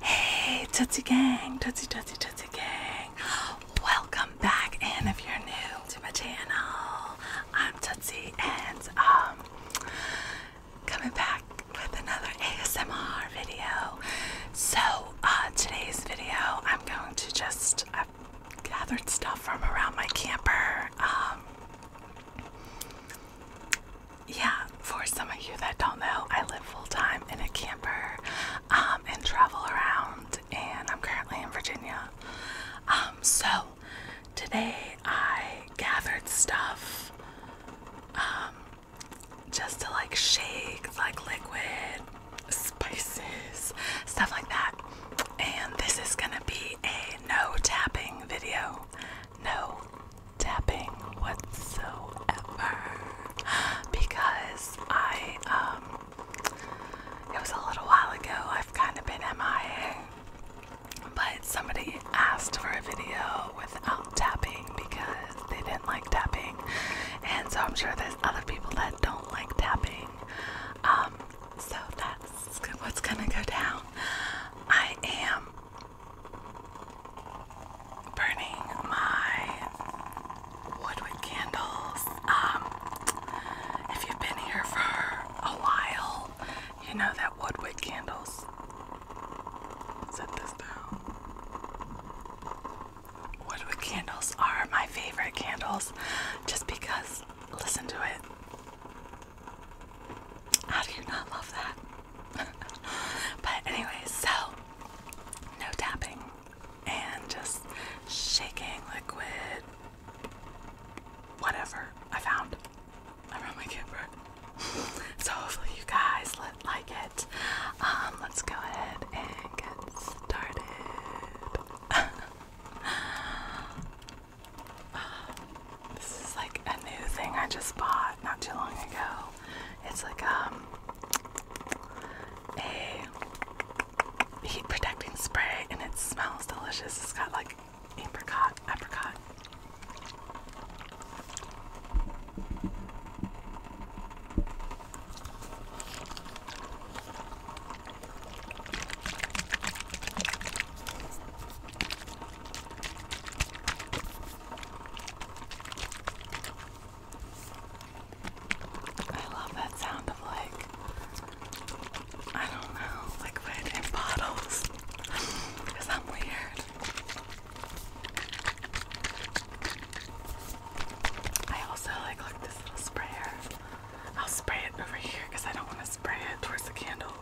Hey, Tutsy Gang, Tutsy Tutsy Tutsy Gang. Welcome back, and if you're new to my channel, I'm Tutsy, and um, coming back with another ASMR video. So, uh, today's video, I'm going to just, I've gathered stuff from around my camper. Um, yeah, for some of you that don't know, I live full time in a camper um, and travel around, and I'm currently in Virginia. Um, so today I gathered stuff um, just to like shake, like liquid, spices, stuff like that. And this is gonna be a no tapping video. No tapping whatsoever because I, um, it was a little while ago, I've kind of been MIA, but somebody asked for a video without tapping because they didn't like tapping, and so I'm sure there's other people that don't like tapping. Um, so that's what's gonna go down. I am burning my woodwick candles. Um, if you've been here for a while, you know that woodwick candles. Set this down. Woodwick candles are my favorite candles just because, listen to it. How do you not love that? but anyways, so no tapping and just shaking liquid whatever I found around my camera. so hopefully you guys like it. Um, let's go ahead and get started. Uh, this is like a new thing I just bought not too long ago. It's like um, a heat protecting spray and it smells delicious. It's got like apricot, apricot. I love that sound of like, I don't know, liquid in bottles. Because I'm weird. I also like look this little sprayer. I'll spray it over here because I don't want to spray it towards the candle.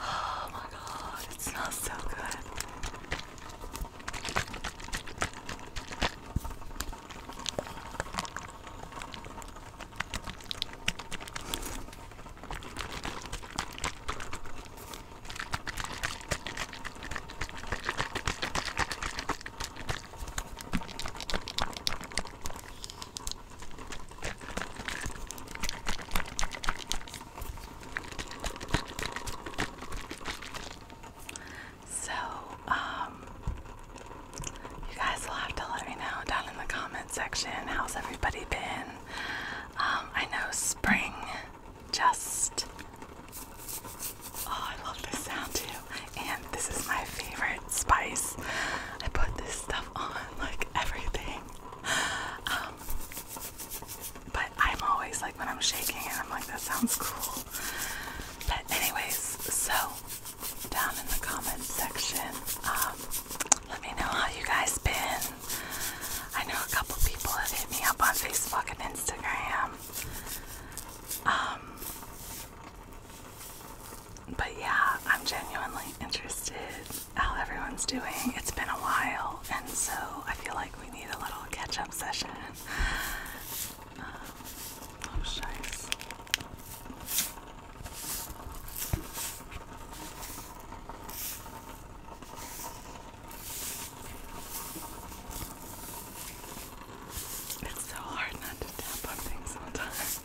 Oh my god, it smells so good. So, um, you guys will have to let me know down in the comment section how's everybody been. Um, I know spring just. Oh, I love this sound too and this is my favorite spice. I put this stuff on like everything. Um, but I'm always like when I'm shaking it, I'm like, that sounds cool. But anyways, so down in the comment section, um, let me know how you guys been. I know a couple people have hit me up on Facebook and Instagram. Um, but yeah, I'm genuinely interested how everyone's doing. It's been a while, and so I feel like we need a little catch up session. Um, oh, shice. It's so hard not to tap on things sometimes.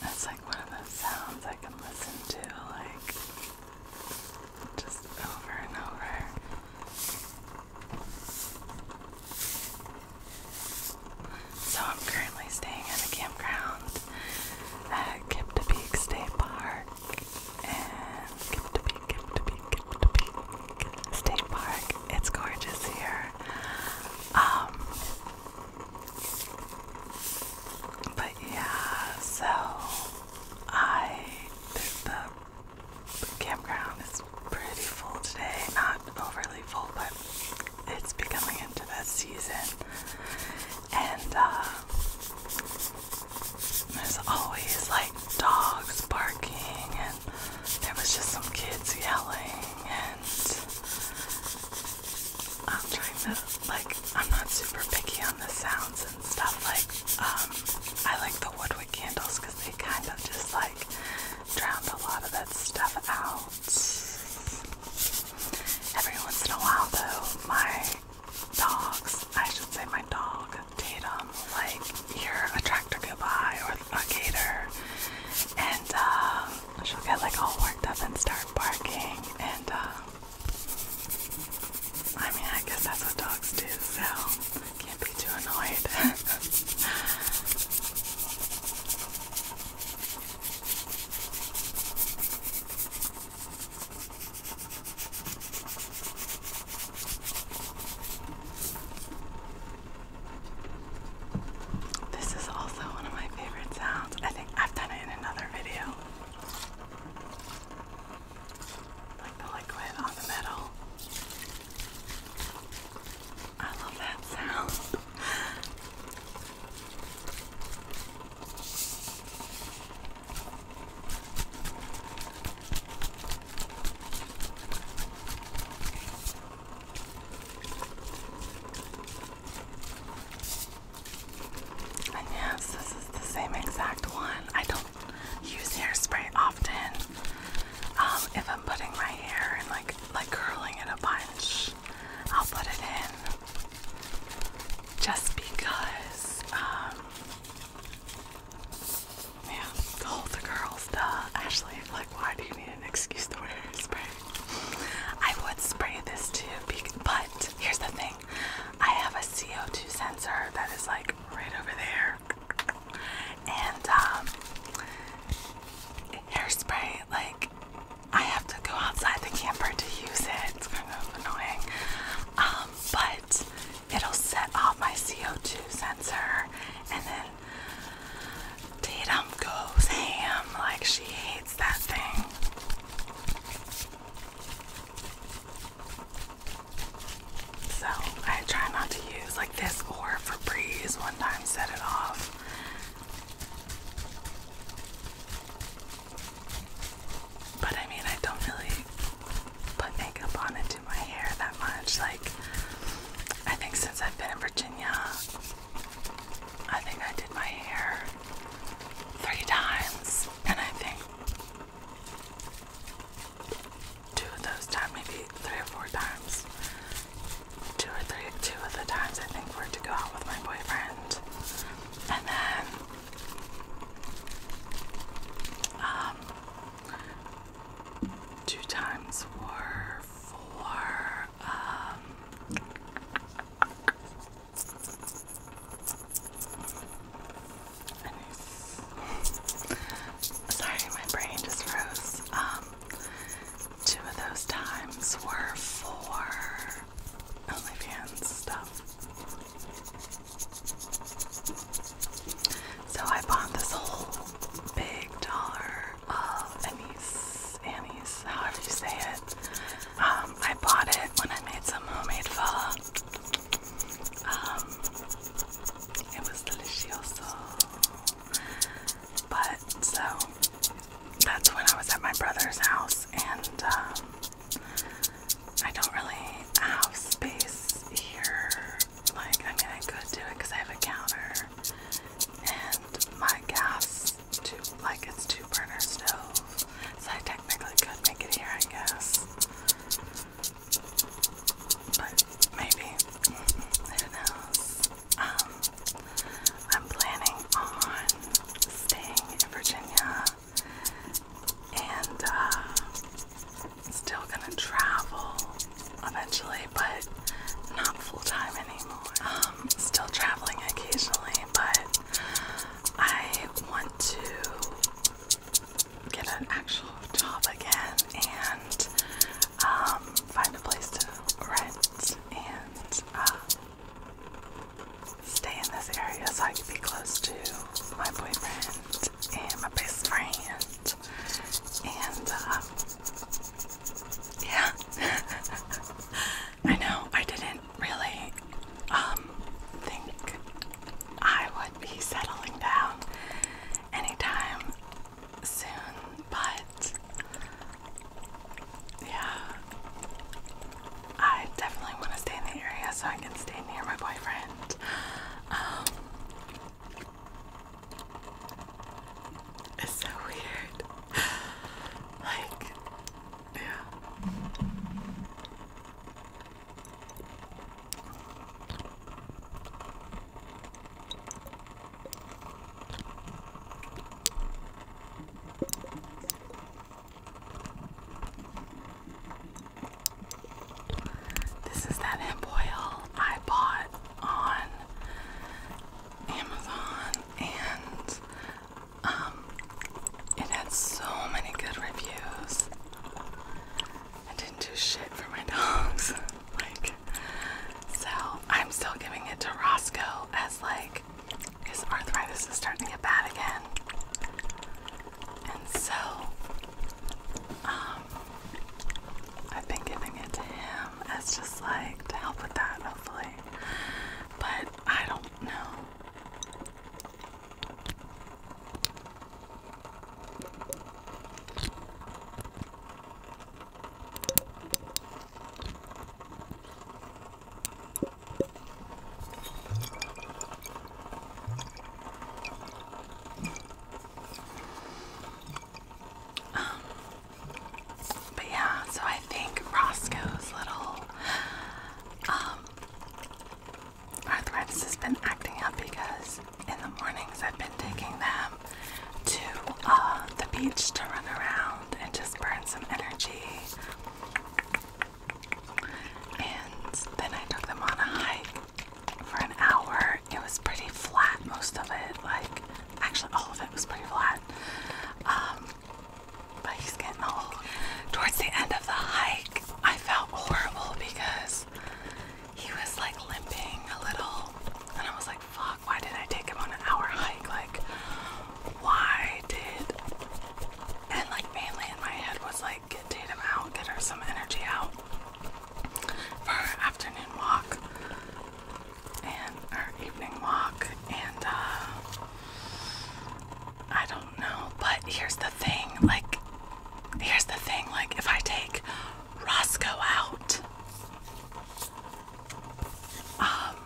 That's like one of those sounds I can listen to, like, just over and over. So I'm currently staying at a campground at Kiptapeak State Park and Kiptapeak, Kiptapeak, Kiptapeak State Park. It's gorgeous here. Um, but yeah, so I the, campground is pretty full today. Not overly full, but it's becoming into the season. And uh, there's always like dogs barking, and there was just some kids yelling, and I'm trying to like I'm not super picky on the sounds and stuff like um I like the woodwick candles because they kind of just like drowned a lot of that stuff out. Every once in a while though, my dogs, I should say my dog, Tatum, like hear a tractor go by or a gator and um she'll get like all worked up and start barking. And uh, I mean, I guess that's what dogs do, so can't be too annoyed. This is also one of my favorite sounds. I think I've done it in another video. Like the liquid on the metal. I love that sound. And yes, this is the same exact one. I don't use hairspray often. Um, if I'm putting my hair and like like curling it a bunch, I'll put it in just because. Um, yeah, the the girls, Ashley, like, why do you need excuse to wear I would spray this too, but here's the thing I have a CO2 sensor that is like right over there. And um, hairspray, like, I have to go outside the camper to use it. It's kind of annoying. Um, but it'll set off my CO2 sensor and then Tatum goes ham like she hates that thing. So I try not to use like this or Febreze one time set it off. But I mean I don't really put makeup on and do my hair that much. Like I think since I've been in Virginia I think I did my hair three times, and I think two of those times, maybe three or four times, two or three, two of the times I think were to go out with my boyfriend, and then um, two times were um, sorry my brain just froze. Um, two of those times were for OnlyFans stuff. So I bought this whole big dollar anise, um, anise, however you say it. Um, I bought it when I made some homemade pho. Um, it was delicious, But so that's when I was at my brother's house, and I don't really have space here. Like, I mean, I could do it because I have a counter, and my gas two, like it's two burner stove, so I technically could make it here, I guess. But maybe, who knows? Um, I'm planning on staying in Virginia and uh, still gonna travel eventually actually, but not full time anymore. Um, still traveling occasionally, but I want to get an actual job again and um, find a place to rent and uh, stay in this area so I can be close to my boyfriend and my best friend and uh, yeah. I know, I didn't really um think I would be settling down anytime soon, but yeah. I definitely want to stay in the area so I can stay near my boyfriend. Um, it's so weird. like, yeah. This is that hemp oil I bought on Amazon and um, it had so many good reviews. I didn't do shit for my dogs. like, so I'm still giving it to Roscoe as like his arthritis is starting to get bad again. And so, um, I've been giving it to him as just like to help with that, hopefully. But I don't know. Um, but yeah, so I think Roscoe's little um, arthritis has been acting up because in the mornings I've been taking them to uh, the beach to run around and just burn some energy. And then I took them on a hike for an hour it was pretty flat, most of it, like actually all of it was pretty flat. Um, but he's getting old. Towards the end of the hike, I felt horrible because he was like limping a little, and I was like, fuck, why did I take him on an hour hike? Like, why did. And like, mainly in my head was like, get Tatum out, get her some energy out for her afternoon walk and our evening walk, and uh, I don't know. But here's the thing, like, here's the thing, like, if I take Roscoe out, um,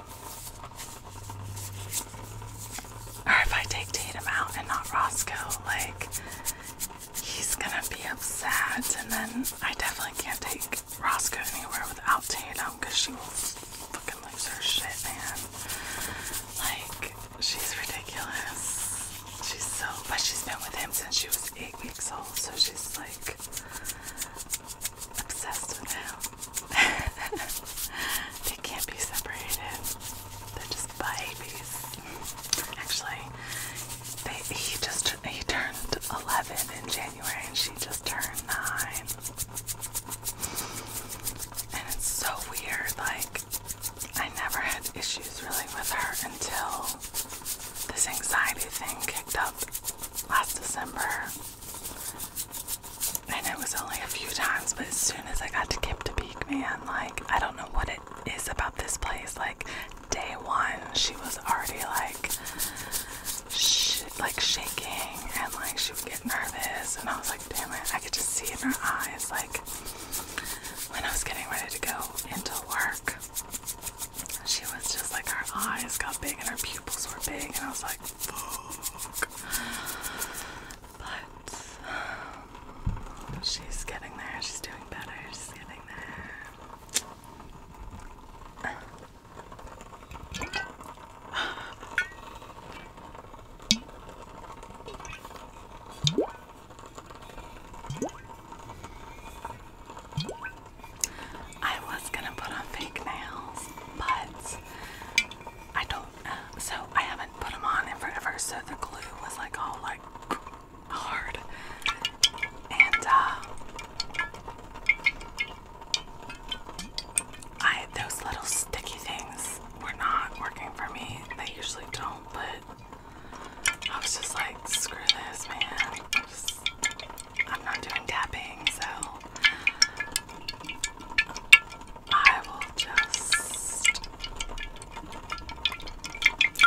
or if I take Tatum out and not Roscoe, like, he's gonna be upset, and then I definitely can't take Ross go anywhere without Tatum because she will fucking lose her shit, man. Like, she's ridiculous. She's so, but she's been with him since she was eight weeks old, so she's like obsessed with him. they can't be separated. They're just babies. Actually, they, he just he turned 11 in January and she just turned nine. And it's so weird, like, I never had issues really with her until this anxiety thing kicked up last December. And it was only a few times, but as soon as I got to Cape to Peak, man, like, I don't know what it is about this place. Like, day one, she was already like, like shaking, and like she would get nervous, and I was like, damn it, I could just see in her eyes, like when I was getting ready to go into work, she was just like her eyes got big and her pupils were big, and I was like, But um, she's getting there. She's doing better. She's getting there. I was gonna put on fake nails, but I don't. Uh, so I haven't put them on in forever. So the glue was like all like hard. And uh, I those little sticky things were not working for me. They usually don't, but I was just like, screw this, man. I'm, not doing tapping, so I will just.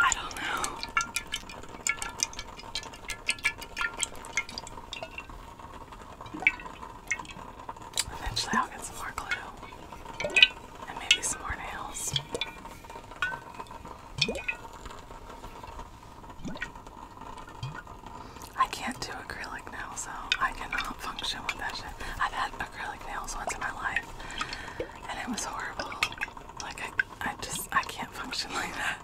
I don't know. Eventually, I'll get some more glue and maybe some more nails. I can't do acrylic nails, so I cannot function with that shit. I've had acrylic nails once in my life, and it was horrible. Like, I just I can't function like that.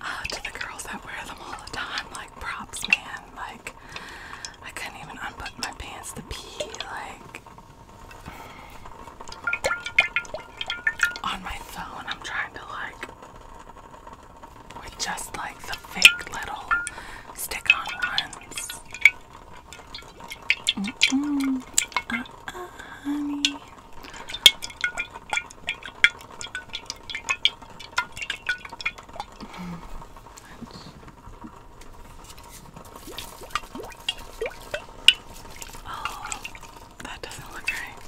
Uh, to the girls that wear them all the time, like props, man. Like I couldn't even unbutton my pants to pee. Like on my phone, I'm trying to like with just like the fake little stick-on ones. Mm -mm. Uh, honey. Oh, that doesn't look right.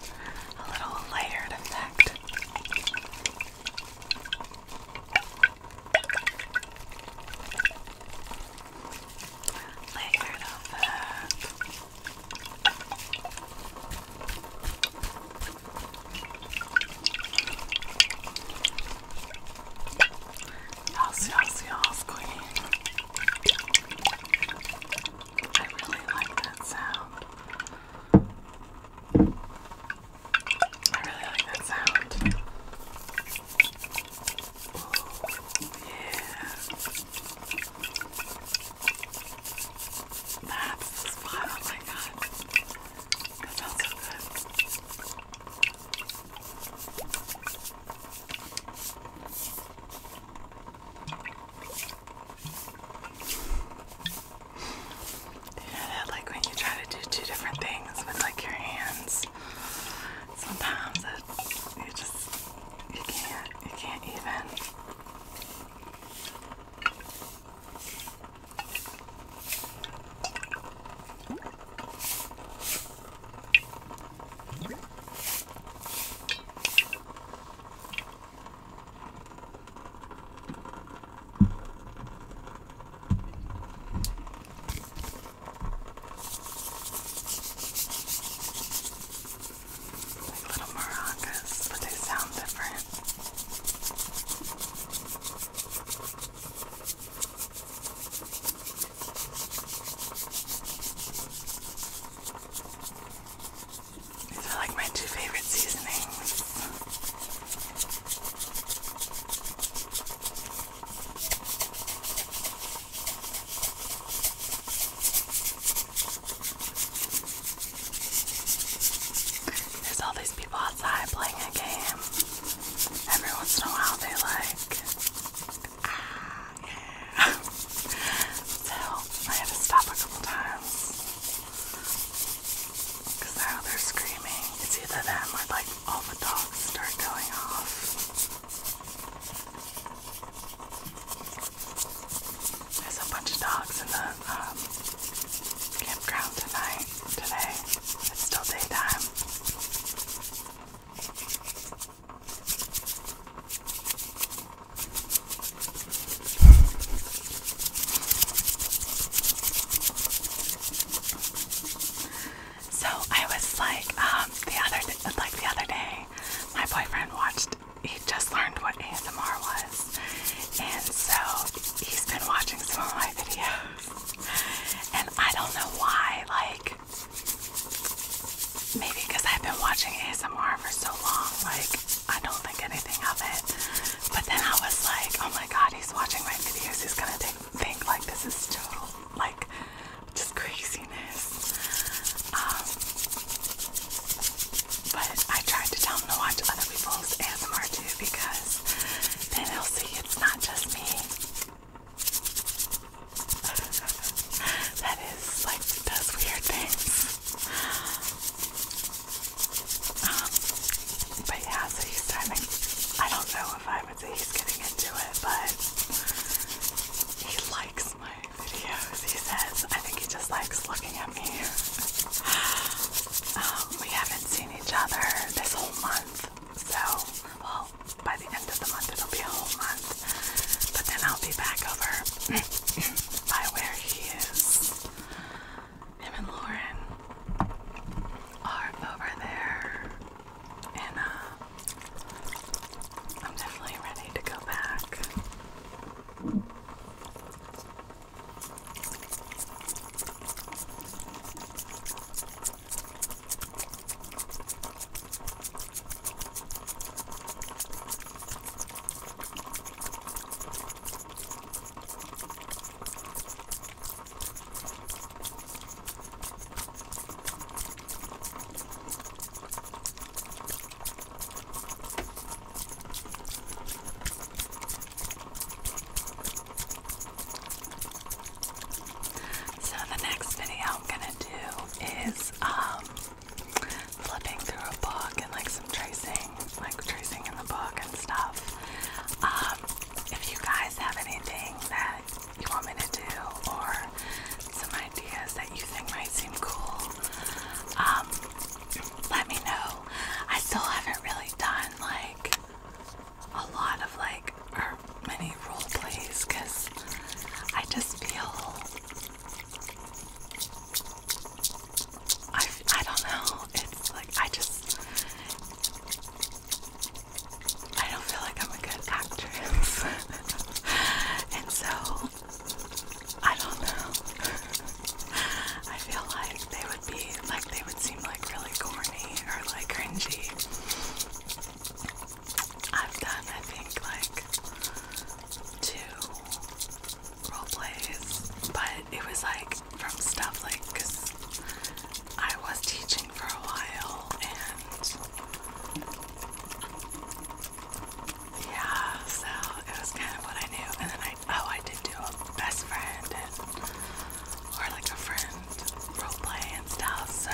A little layered effect. Layered effect. Yes, yes, yes, Queen. I really like that sound. I really like that sound. Ooh, yeah. That is fun. Oh my god. That sounds so good. You know that like when you try to do two different things with like your hands, sometimes you just you can't, you can't even. Like little maracas, but they sound different. These are like my two favorite seasonings. There's all these people outside playing a game. Every once in a while they like, ah, yeah. so I had to stop a couple times. Because now they're screaming. It's either them or like all the dogs start going off. There's a bunch of dogs in the um, campground tonight. Today, it's still daytime. So I was like, um, the other like the other day, my boyfriend watched. He just learned what ASMR was, and so he's been watching some of my videos. And I don't know why, like maybe because I've been watching ASMR for so long, like I don't think anything of it. But then I was like, oh my god, he's watching my videos. He's gonna think, think like this is total like just craziness. Um, but I tried to tell him to watch other people's ASMR too because then he'll see it's not just me. that is like does weird things. Um, but yeah, so he's starting. I don't know if I've he's getting into it, but he likes my videos. He says, I think he just likes looking at me. um, we haven't seen each other this whole month, so, well, by the end of the month it'll be a whole month, but then I'll be back over by where he is. Him and Lauren are over there and uh, I'm definitely ready to go back. So the next video I'm gonna do is um, flipping through a book and like some tracing, like tracing in the book and stuff. Um, if you guys have anything that you want me to do or some ideas that you think might seem cool, um, let me know. I still haven't really done like a lot of like or many role plays because I just feel I I don't know. It's like I just I don't feel like I'm a good actress. and so, I don't know. I feel like they would be, like, they would seem like really corny or like cringy. I've done, I think, like two role plays, but it was like from stuff like, because I was teaching for a while and yeah, so it was kind of what I knew. And then I, oh, I did do a best friend or like a friend role play So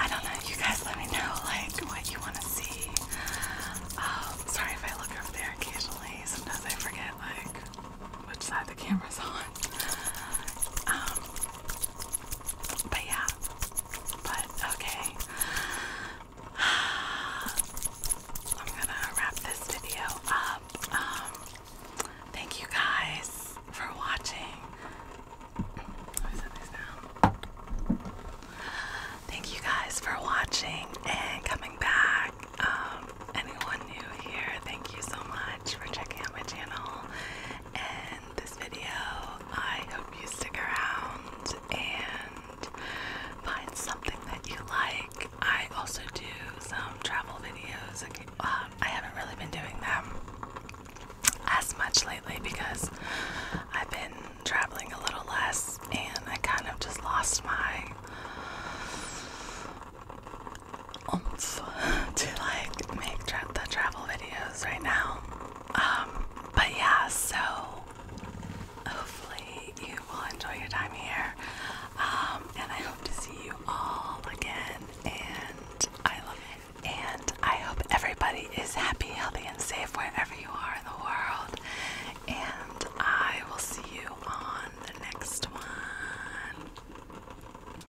I don't know. You guys let me know like what you want to see. Um, sorry if I look over there occasionally. Sometimes I forget like which side the camera's on. Um, but yeah. But okay. I'm gonna wrap this video up. Um, thank you guys for watching. Thank you guys for watching and coming back. Um, anyone new here, thank you so much for checking out my channel end this video. I hope you stick around and find something that you like. I also do some travel videos. Um, I haven't really been doing them as much lately because I've been traveling a little less and I kind of just lost my to like make the travel videos right now. Um, but yeah, so hopefully you will enjoy your time here. Um, and I hope to see you all again. And I love it. And I hope everybody is happy, healthy, and safe wherever you are in the world. And I will see you on the next one.